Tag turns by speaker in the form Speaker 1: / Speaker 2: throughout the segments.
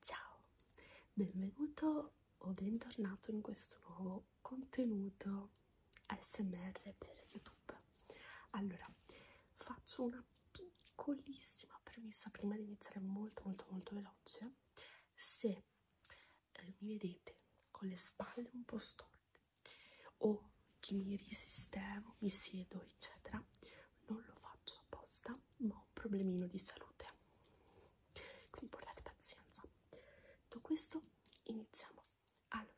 Speaker 1: Ciao, benvenuto o bentornato in questo nuovo contenuto ASMR per YouTube. Allora, faccio una piccolissima premessa prima di iniziare molto molto molto veloce. Se eh, mi vedete con le spalle un po' storte o che mi risistemo, mi siedo, eccetera, non lo faccio apposta, ma ho un problemino di salute. Quindi portate pazienza. Tutto questo iniziamo. Allora,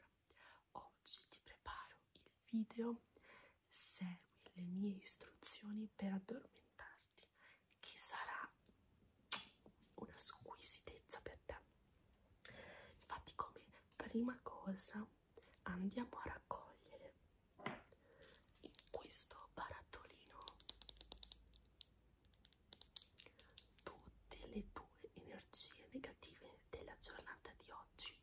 Speaker 1: Oggi ti preparo il video Segui le mie istruzioni per addormentarti che sarà una squisitezza per te. Infatti come prima cosa andiamo a raccogliere in questo barattolino tutte le tue energie negative della giornata di oggi.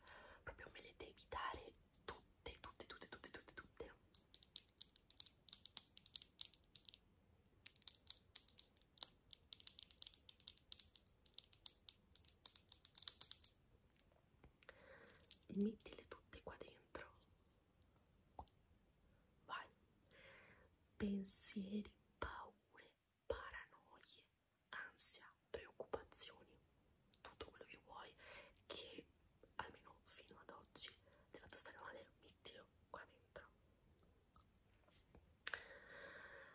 Speaker 1: Proprio me le devi evitare tutte, tutte, tutte, tutte, tutte, tutte. Mettile tutte qua dentro. Vai. Pensieri, paure, paranoie, ansia, preoccupazioni, tutto quello che vuoi, che almeno fino ad oggi ti ha fatto stare male, mettilo qua dentro.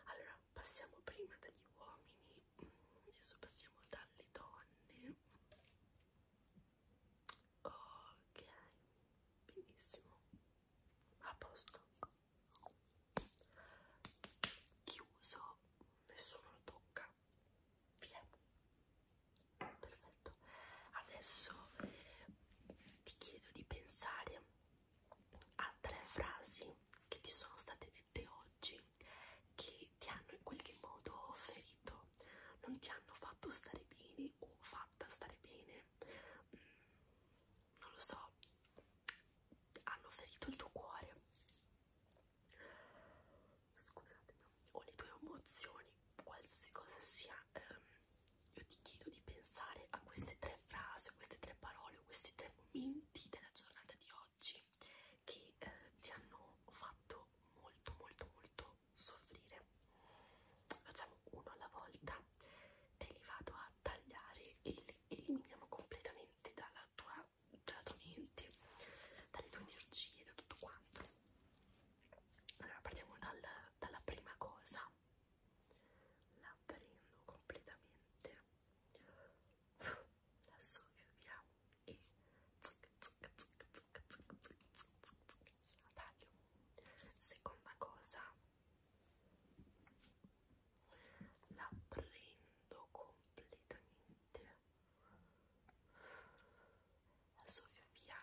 Speaker 1: Allora, passiamo prima dagli uomini, mm, adesso passiamo dalle donne. Ok, benissimo, a posto chiuso, nessuno lo tocca, via, perfetto. Adesso ti chiedo di pensare a tre frasi che ti sono state dette oggi che ti hanno in qualche modo ferito, non ti hanno fatto stare bene o fatta stare bene, mm, non lo so, hanno ferito il tuo cuore. Scusatemi, o le tue emozioni, qualsiasi cosa sia, ehm, io ti chiedo di pensare a queste tre frasi, a queste tre parole, a questi tre momenti della giornata di oggi che eh, ti hanno fatto molto, molto, molto soffrire. Facciamo uno alla volta, te li vado a tagliare e le eliminiamo completamente dalla tua, dalla tua mente, dalle tue energie, da tutto quanto. Allora partiamo dal, dalla prima cosa, la prendo completamente, la soffiamo e zic, zic, zic, zic, zic, zic, zic, zic, la taglio. Seconda cosa, la prendo completamente la soffio via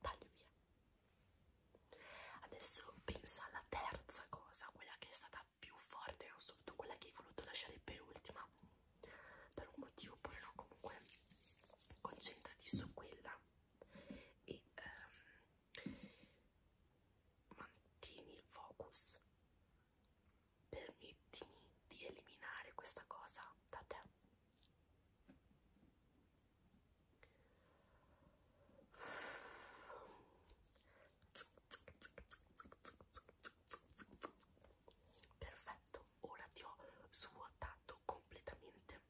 Speaker 1: taglio via adesso pensa alla terza cosa quella che è stata più forte non so, quella che hai voluto lasciare per ultima per un motivo oppure no, comunque concentrati su quella e ehm, mantieni il focus permettimi di eliminare questa cosa da te perfetto ora ti ho svuotato completamente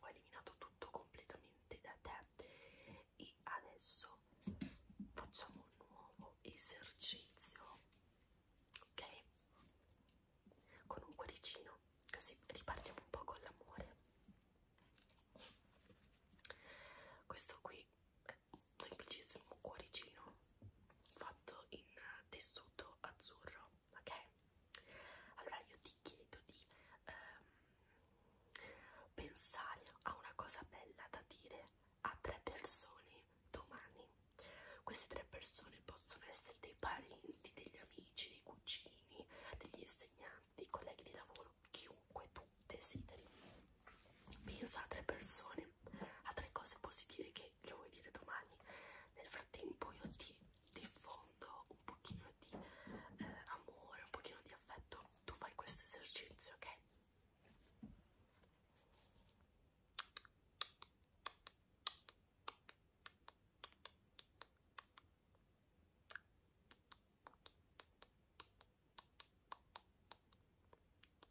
Speaker 1: ho eliminato tutto completamente da te e adesso facciamo un nuovo esercizio ok con un cuoricino così ripartiamo un po' con l'amore questo qui è semplicissimo cuoricino fatto in tessuto azzurro, ok? Allora io ti chiedo di ehm, pensare a una cosa bella da dire a tre persone domani. Queste tre persone possono essere dei parenti, degli amici, dei cugini, degli insegnanti, dei colleghi di lavoro, chiunque tu desideri. Pensa a tre persone, a tre cose positive che che lo vuoi dire domani. Nel frattempo io ti diffondo un pochino di eh, amore, un pochino di affetto. Tu fai questo esercizio, ok?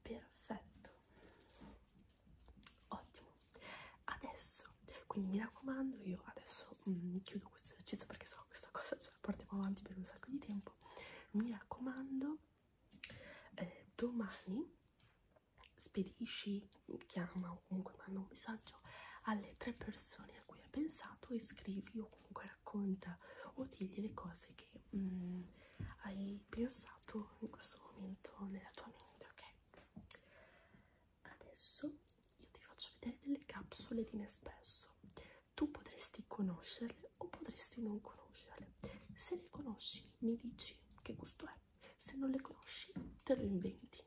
Speaker 1: Perfetto, ottimo. Adesso, quindi mi raccomando, io adesso mm, chiudo questo esercizio perché so questa cosa ce la portiamo avanti per un sacco di tempo. Mi raccomando, eh, domani spedisci, chiama o comunque manda un messaggio alle tre persone a cui hai pensato e scrivi o comunque racconta o digli le cose che mm, hai pensato in questo momento nella tua mente, ok? Adesso io ti faccio vedere delle capsule di Nespresso. Tu potresti conoscerle o potresti non conoscerle. Se le conosci mi dici che gusto è se non le conosci, te lo inventi,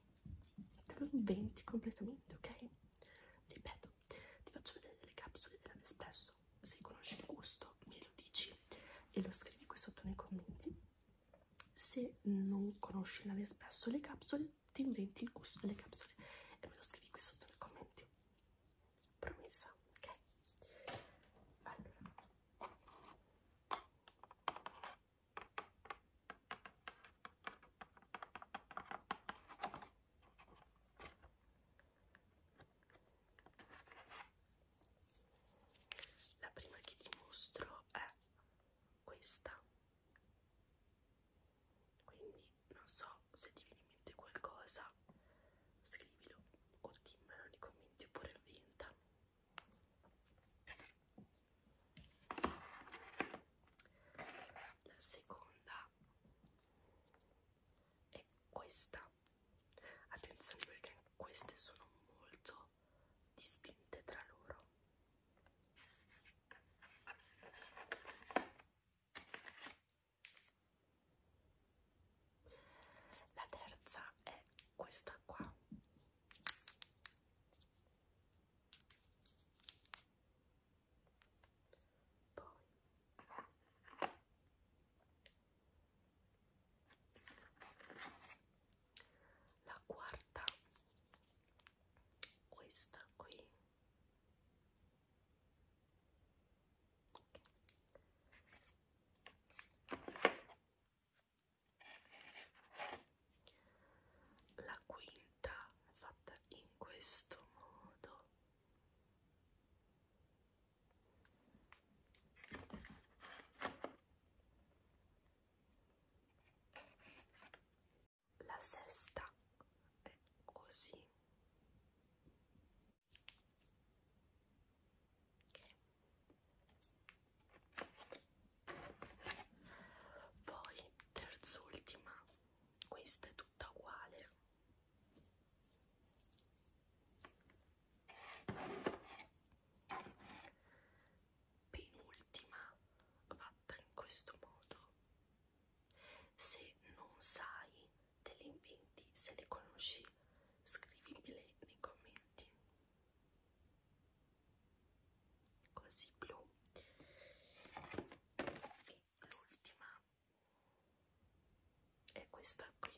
Speaker 1: te lo inventi completamente, ok? Ripeto, ti faccio vedere delle capsule della Nespresso. Se conosci il gusto, me lo dici e lo scrivi qui sotto nei commenti. Se non conosci la Nespresso, le capsule, ti inventi il gusto delle capsule e me lo scrivi qui sotto nei commenti. Promessa, ok? Allora. La prima che ti mostro è questa. Quindi non so se ti viene in mente qualcosa, scrivilo o dimmelo nei commenti oppure inventa. La seconda è questa. Attenzione perché queste sono molto distinte tra loro. La terza è questa qua poi la quarta, questa qui. Okay. La quinta è fatta in questo modo. La sesta è così. Poi, terz'ultima, questa è tutta uguale. Penultima, fatta in questo modo. Se non sai te le inventi, se le conosci, scrivimele nei commenti così blu e l'ultima è questa qui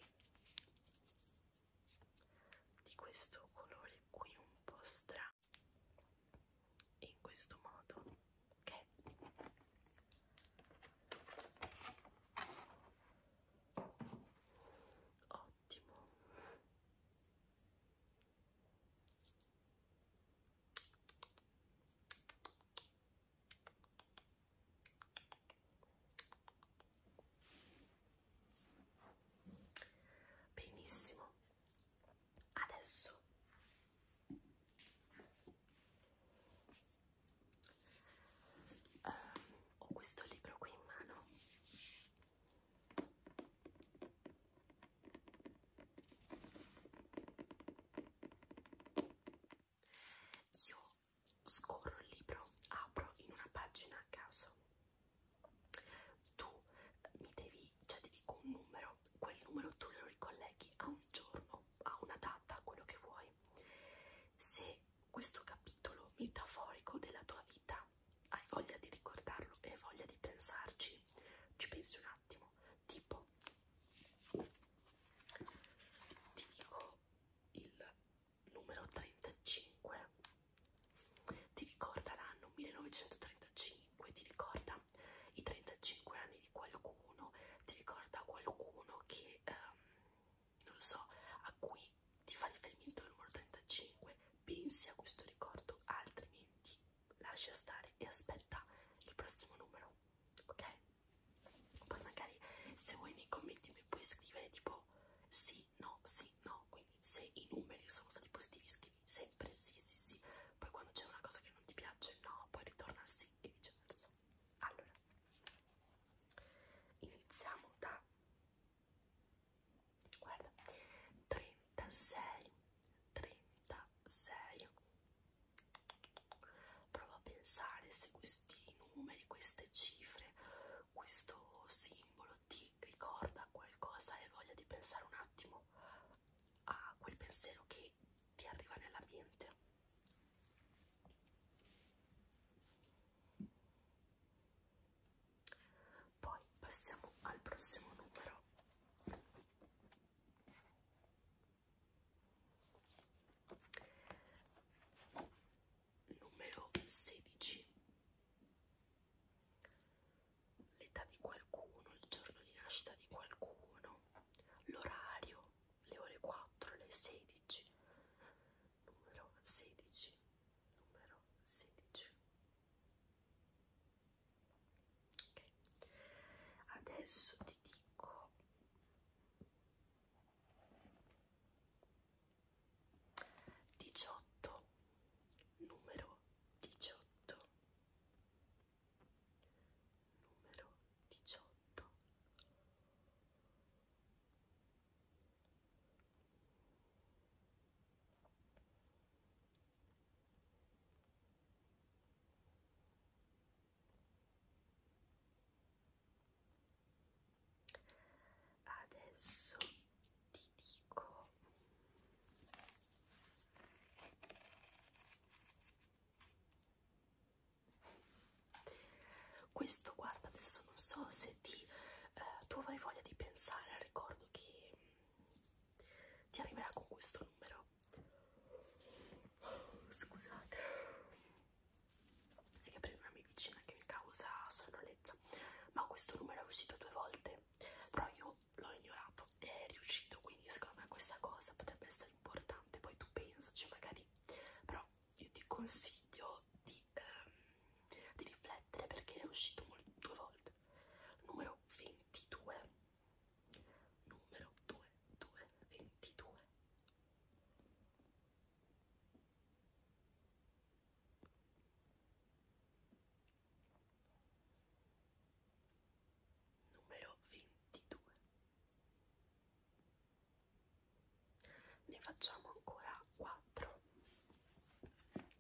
Speaker 1: di questo colore qui un po' strano in questo modo ok ho attimo benissimo adesso um, ho questo libro qui in mano io scorro il libro, apro in una pagina a caso. Tu mi devi, cioè ti dico un numero, quel numero tu lo ricolleghi a un giorno, a una data, a quello che vuoi. Se questo capitolo metaforico della tua vita hai voglia di ricordarlo e hai voglia di pensarci, ci pensi un attimo, tipo ti dico il numero 35, ti ricorda l'anno 1935, ti ricorda i 35 anni di qualcuno, ti ricorda qualcuno che, ehm, non lo so, a cui ti fa riferimento al numero 35, pensi a questo ricordo, altrimenti lascia stare e aspetta il prossimo numero, ok? Poi magari se vuoi nei commenti mi puoi scrivere tipo sì, no, sì, no, quindi se i numeri sono stati positivi scrivi sempre sì, sì, sì, poi quando c'è una cosa che non ti piace no, poi ritorna a sì e viceversa. Allora, iniziamo da guarda 36 36 prova a pensare se questi numeri queste cifre questo simbolo ti ricorda qualcosa e voglia di pensare un attimo a quel pensiero che ti arriva nella mente poi passiamo al prossimo numero. Numero 16. L'età di qualcuno, il giorno di nascita di qualcuno, l'orario, le ore 4, le 16. Numero 16 numero 16 ok adesso ti dico diciotto numero diciotto numero diciotto Adesso ti dico questo guarda adesso non so se ti, eh, tu avrai voglia di pensare al ricordo che mm, ti arriverà con questo numero. Scusate, è che prendo una mia vicina che mi causa sonnolenza. Ma questo numero è uscito due volte, però io l'ho ignorato e è riuscito. Quindi, secondo me, questa cosa potrebbe essere importante. Poi tu pensaci, magari. Però, io ti consiglio di ehm, di riflettere perché è uscito molto, due volte numero 22 numero 2 2 22 numero 22 ne facciamo ancora 4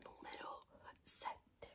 Speaker 1: numero 7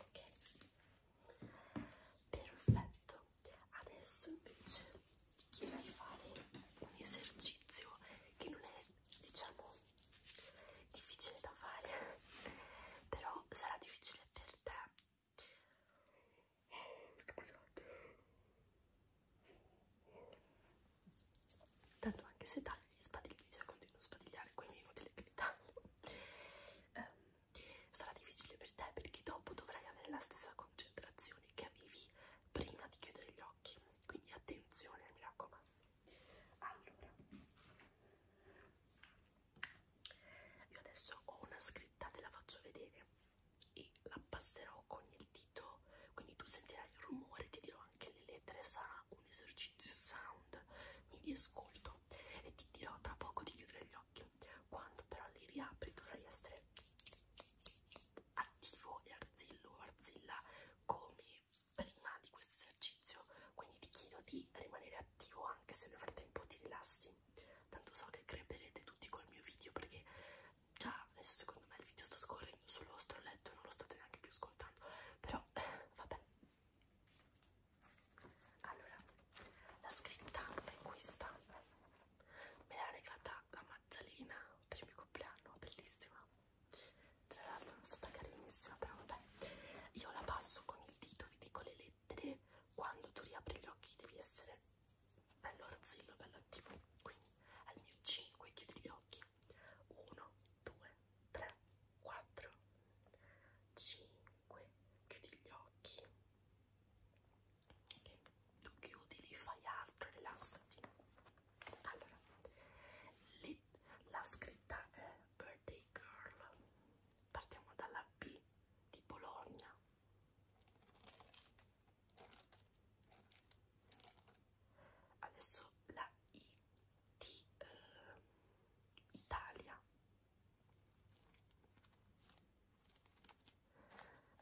Speaker 1: Ok, perfetto. Adesso invece ti chiederei di fare un esercizio che non è diciamo difficile da fare però sarà difficile per te scusate tanto anche se taglio gli spadillici continuo a spadigliare quindi è inutile che li taglio um, sarà difficile per te perché dopo dovrai avere la stessa concentrazione che avevi prima di chiudere gli occhi occhi, quindi attenzione, mi raccomando. Allora, io adesso ho una scritta, te la faccio vedere e la passerò con il dito, quindi tu sentirai il rumore, ti dirò anche le lettere, sarà un esercizio sound, mi riascolto e ti dirò tra poco di chiudere gli occhi. Quando però li riapri dovrai essere attivo e arzillo o arzilla come prima di questo esercizio quindi ti chiedo di rimanere attivo anche se nel frattempo ti rilassi tanto so che creperete tutti col mio video perché già adesso secondo me il video sta scorrendo sul vostro letto e non lo state neanche più ascoltando però eh, vabbè allora la scritta è questa me l'ha regalata la Maddalena per il mio compleanno bellissima tra l'altro non è stata carinissima però vabbè io la passo con il dito vi dico le lettere quando tu riapri gli occhi devi essere bello rozzillo bello attivo quindi al mio 5 chiudi gli occhi 1 2 3 4 5 chiudi gli occhi ok tu chiudi li fai altro rilassati allora, le, la scritta è Birthday Girl. Partiamo dalla B di Bologna. Adesso la I di eh, Italia.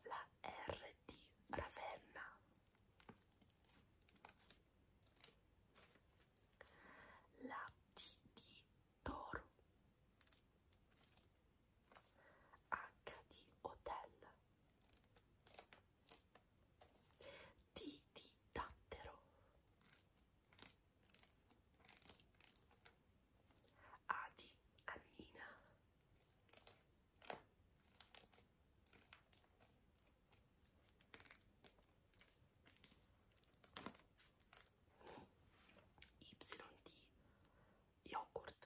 Speaker 1: La R di Ravenna. Lati di toro. H hotel. T di dattero. A Annina. YD yogurt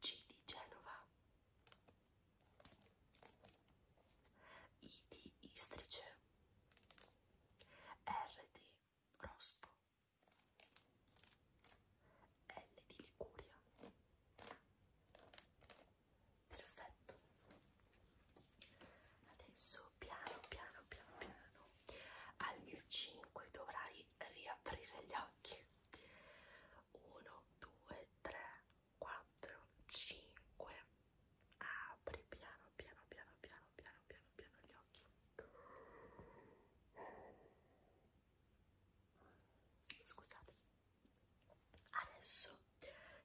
Speaker 1: G di Genova I di Istrice R di Rospo l di Licuria. Perfetto. Adesso piano piano piano piano al mio 5 dovrai riaprire gli occhi. 1 2 3 4 5 Apri piano piano piano piano piano piano piano gli occhi. Scusate, adesso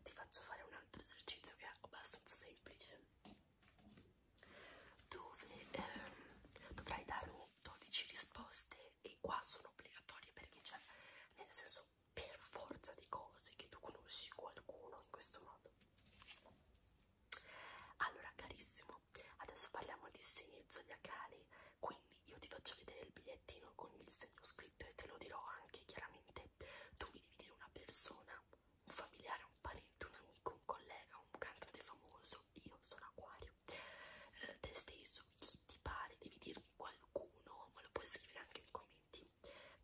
Speaker 1: ti faccio fare un altro esercizio che è abbastanza semplice. Dove ehm, dovrai darmi 12 risposte, e qua sono obbligatorie perché c'è, nel senso, per forza di cose che tu conosci qualcuno in questo modo. Allora, carissimo, adesso parliamo di segni zodiacali. Quindi quindi io ti faccio vedere il bigliettino con il segno scritto e te lo dirò anche chiaramente. Tu mi devi dire una persona, un familiare, un parente, un amico, un collega, un cantante famoso. Io sono Acquario. Eh, te stesso, chi ti pare, devi dirmi qualcuno, ma lo puoi scrivere anche nei commenti,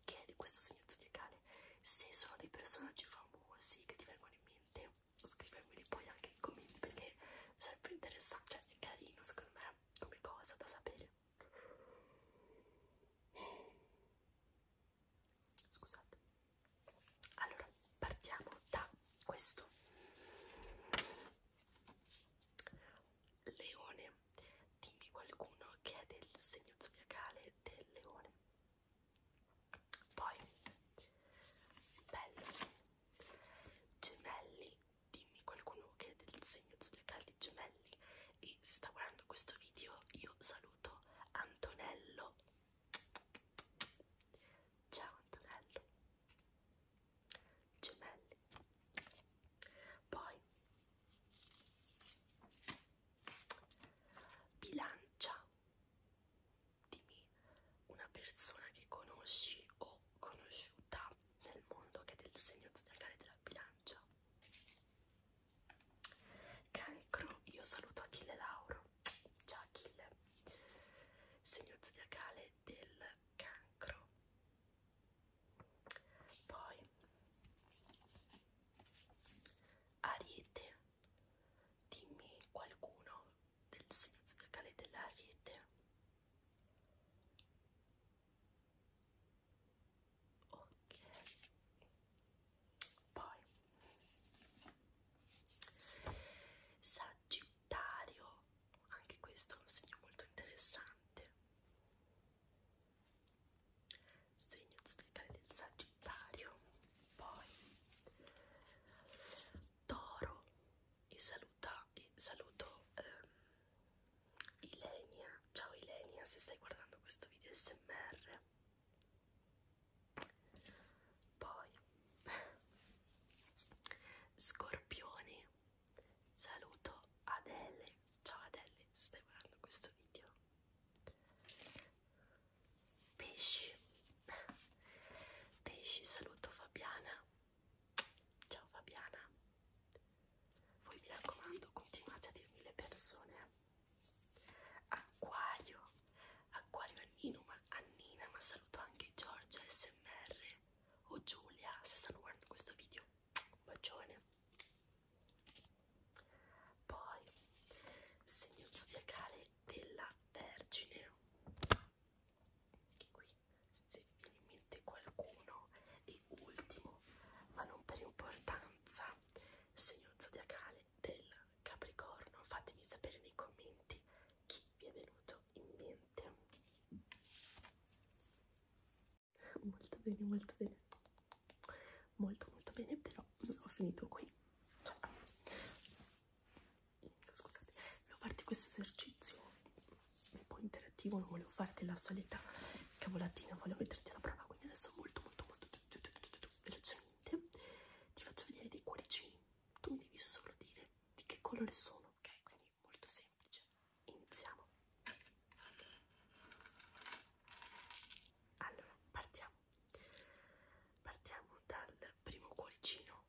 Speaker 1: che è di questo segno zodiacale. Se sono dei personaggi famosi che ti vengono in mente, scrivermeli poi anche nei commenti perché sarebbe interessante, cioè è carino secondo me come cosa da sapere. Scusate. Allora, partiamo da questo. Leone. Dimmi qualcuno che è del segno zodiacale del leone. Poi, bello, Gemelli, dimmi qualcuno che è del segno zodiacale di Gemelli e se sta guardando questo video io saluto Antonello. Ciao Antonello. Gemelli. Poi bilancia dimmi una persona che conosci o conosciuta nel mondo che è del segno zodiacale della bilancia. Cancro, io saluto Achille Lauro. Ciao Achille. Segno zodiacale del cancro. Poi Ariete, dimmi qualcuno del silenzio del cale della rete ok poi Sagittario anche questo è un segno molto interessante segno zodiacale del Sagittario poi Toro e saluta e saluto um, Ilenia. Ciao Ilenia, se stai guardando questo video SMR. Poi Scorpione. Saluto Adele. Ciao Adele, se stai guardando questo video. Pesci pesci saluto Fabiana ciao Fabiana voi mi raccomando continuate a dirmi le persone acquario acquario Annino, ma, Annina ma saluto anche Giorgia smr o Giulia se stanno guardando questo video un bacione poi segno zodiacale della Vergine anche qui se vi viene in mente qualcuno e ultimo ma non per importanza segno zodiacale del capricorno fatemi sapere nei commenti chi vi è venuto in mente molto bene molto bene molto molto bene però non ho finito qui scusate, volevo farti questo esercizio un po' interattivo, non volevo farti la solita cavolatina, volevo metterti alla prova, quindi adesso molto molto molto velocemente ti faccio vedere dei cuoricini, tu mi devi solo dire di che colore sono, ok? Quindi molto semplice, iniziamo. Allora, partiamo. Partiamo dal primo cuoricino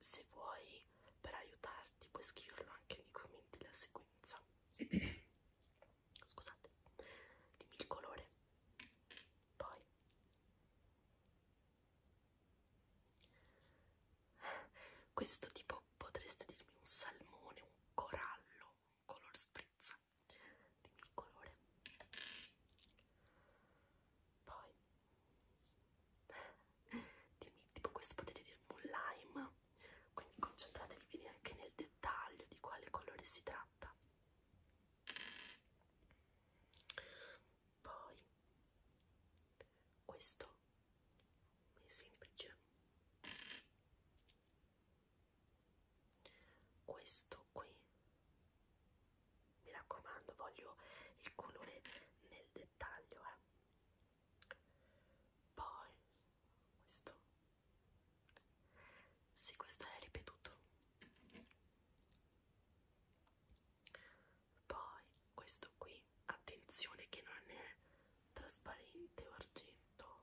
Speaker 1: se vuoi, per aiutarti, puoi scriverlo anche nei commenti la sequenza. Scusate, dimmi il colore. Poi. Questo tipo potreste dirmi un salmone, un corallo, un color sprizza. Dimmi il colore. Poi. Dimmi, tipo questo potete dirmi un lime, quindi concentratevi bene anche nel dettaglio di quale colore si tratta. Poi questo è semplice. Questo questo qui mi raccomando voglio il colore nel dettaglio eh. poi questo sì questo è ripetuto poi questo qui attenzione che non è trasparente o argento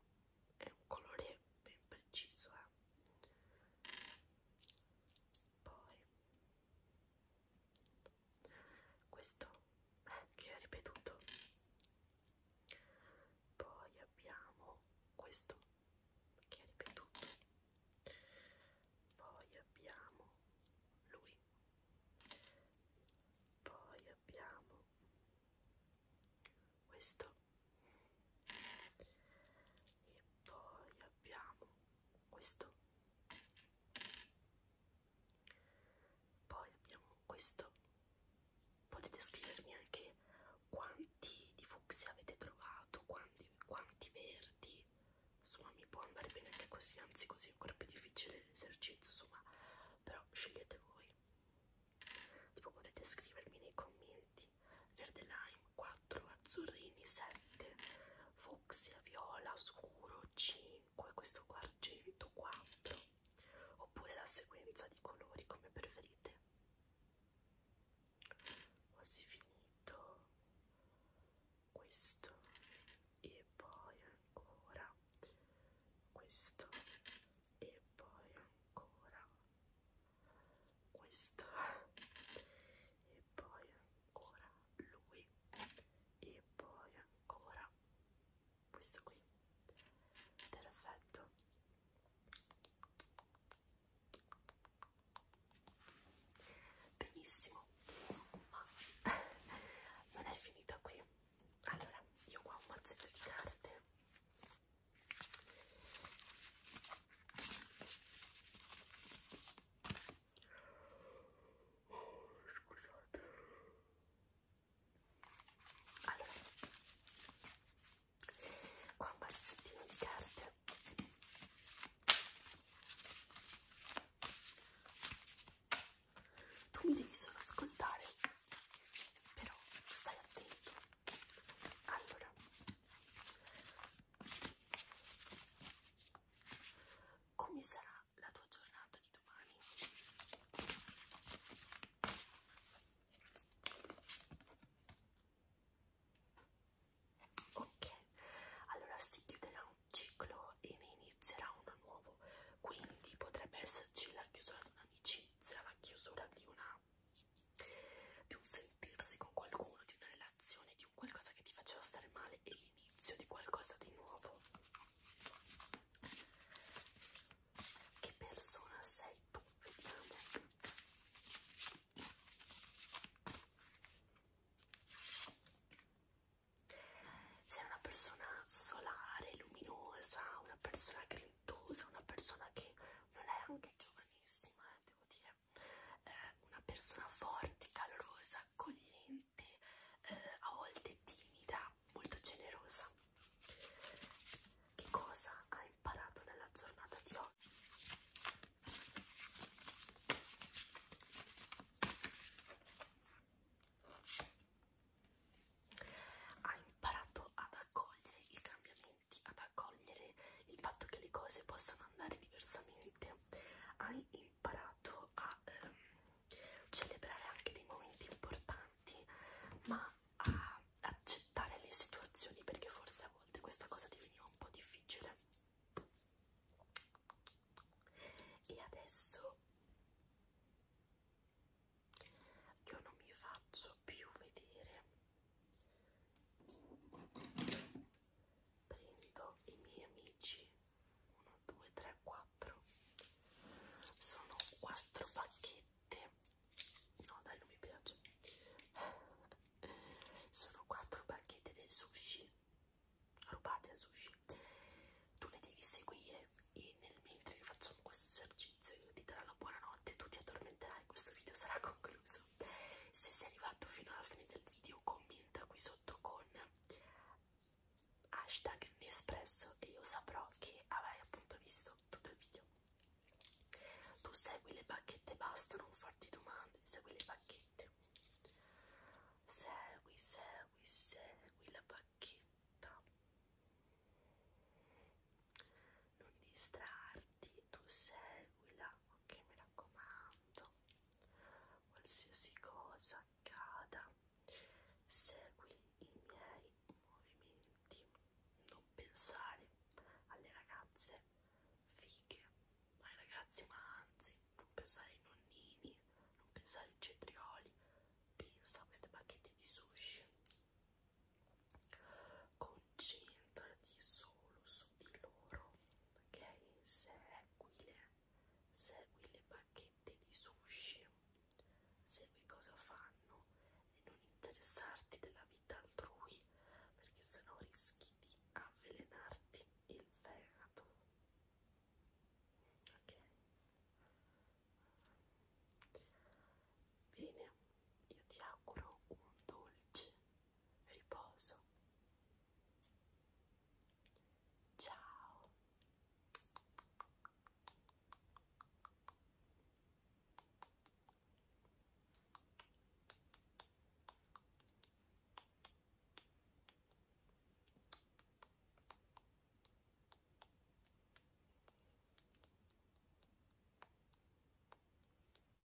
Speaker 1: è un colore ben preciso eh. poi questo eh, che ho ripetuto poi abbiamo questo che ho ripetuto poi abbiamo lui poi abbiamo questo e poi abbiamo questo poi abbiamo questo potete scrivermi anche quanti di fucsia avete trovato quanti, quanti verdi insomma mi può andare bene anche così anzi così è ancora più difficile l'esercizio insomma però scegliete voi tipo potete scrivermi nei commenti verde lime 4, azzurrini 7, fucsia viola scuro 5, questo qua argento 4, oppure la sequenza di colori come preferite. Quasi finito questo e poi ancora questo e poi ancora questa e poi ancora lui e poi ancora questo qui perfetto benissimo ma non è finita qui allora io qua ho un mazzetto di carte Oh, scusate. Allora, qua un pezzettino di carte. Tu mi devi solo ascoltare, però stai attento. Allora, come sarà la tua giornata di domani? Ok, allora si chiuderà un ciclo e ne inizierà uno nuovo, quindi potrebbe esserci la chiusura di un'amicizia, la chiusura di una di un sentirsi con qualcuno, di una relazione di un qualcosa che ti faceva stare male e l'inizio di qualcosa di nuovo. Che persona sei tu? Vediamo. Sei una persona solare, luminosa, una persona grintosa, una persona che non è anche giovanissima, eh, devo dire eh, una persona forte, calorosa, accogliente, eh, a volte timida, molto generosa. Che cosa ha imparato nella giornata di oggi? Ha imparato ad accogliere i cambiamenti attenti ad accogliere il fatto che le cose possano andare diversamente, hai imparato a ehm, celebrare anche dei momenti importanti, ma a accettare le situazioni perché forse a volte questa cosa diveniva un po' difficile. E adesso io non mi faccio più vedere prendo i miei amici 1 2 3 4 sono 4 bacchette no dai non mi piace sono 4 bacchette del sushi rubate al sushi tu le devi seguire e nel mentre che facciamo questo esercizio io ti darò la buonanotte tu ti addormenterai questo video sarà concluso cosa. Se sei arrivato fino alla fine del video commenta qui sotto con hashtag Nespresso e io saprò che avrai appunto visto tutto il video. Tu segui le bacchette, basta, non farti domande, segui le bacchette. Segui, segui, segui la bacchetta. Non distrarti, tu seguila ok mi raccomando qualsiasi cosa accada segui i miei movimenti non pensare alle ragazze fighe ai ragazzi ma anzi non pensare ai nonnini non pensare ai cetrioli pensa a questi pacchetti di sushi concentrati solo su di loro ok? Seguile, segui le bacchette di sushi, segui cosa fanno e non interessarti della vita altrui perché sennò rischi di avvelenarti il fegato, ok? Bene, io ti auguro un dolce riposo. Ciao.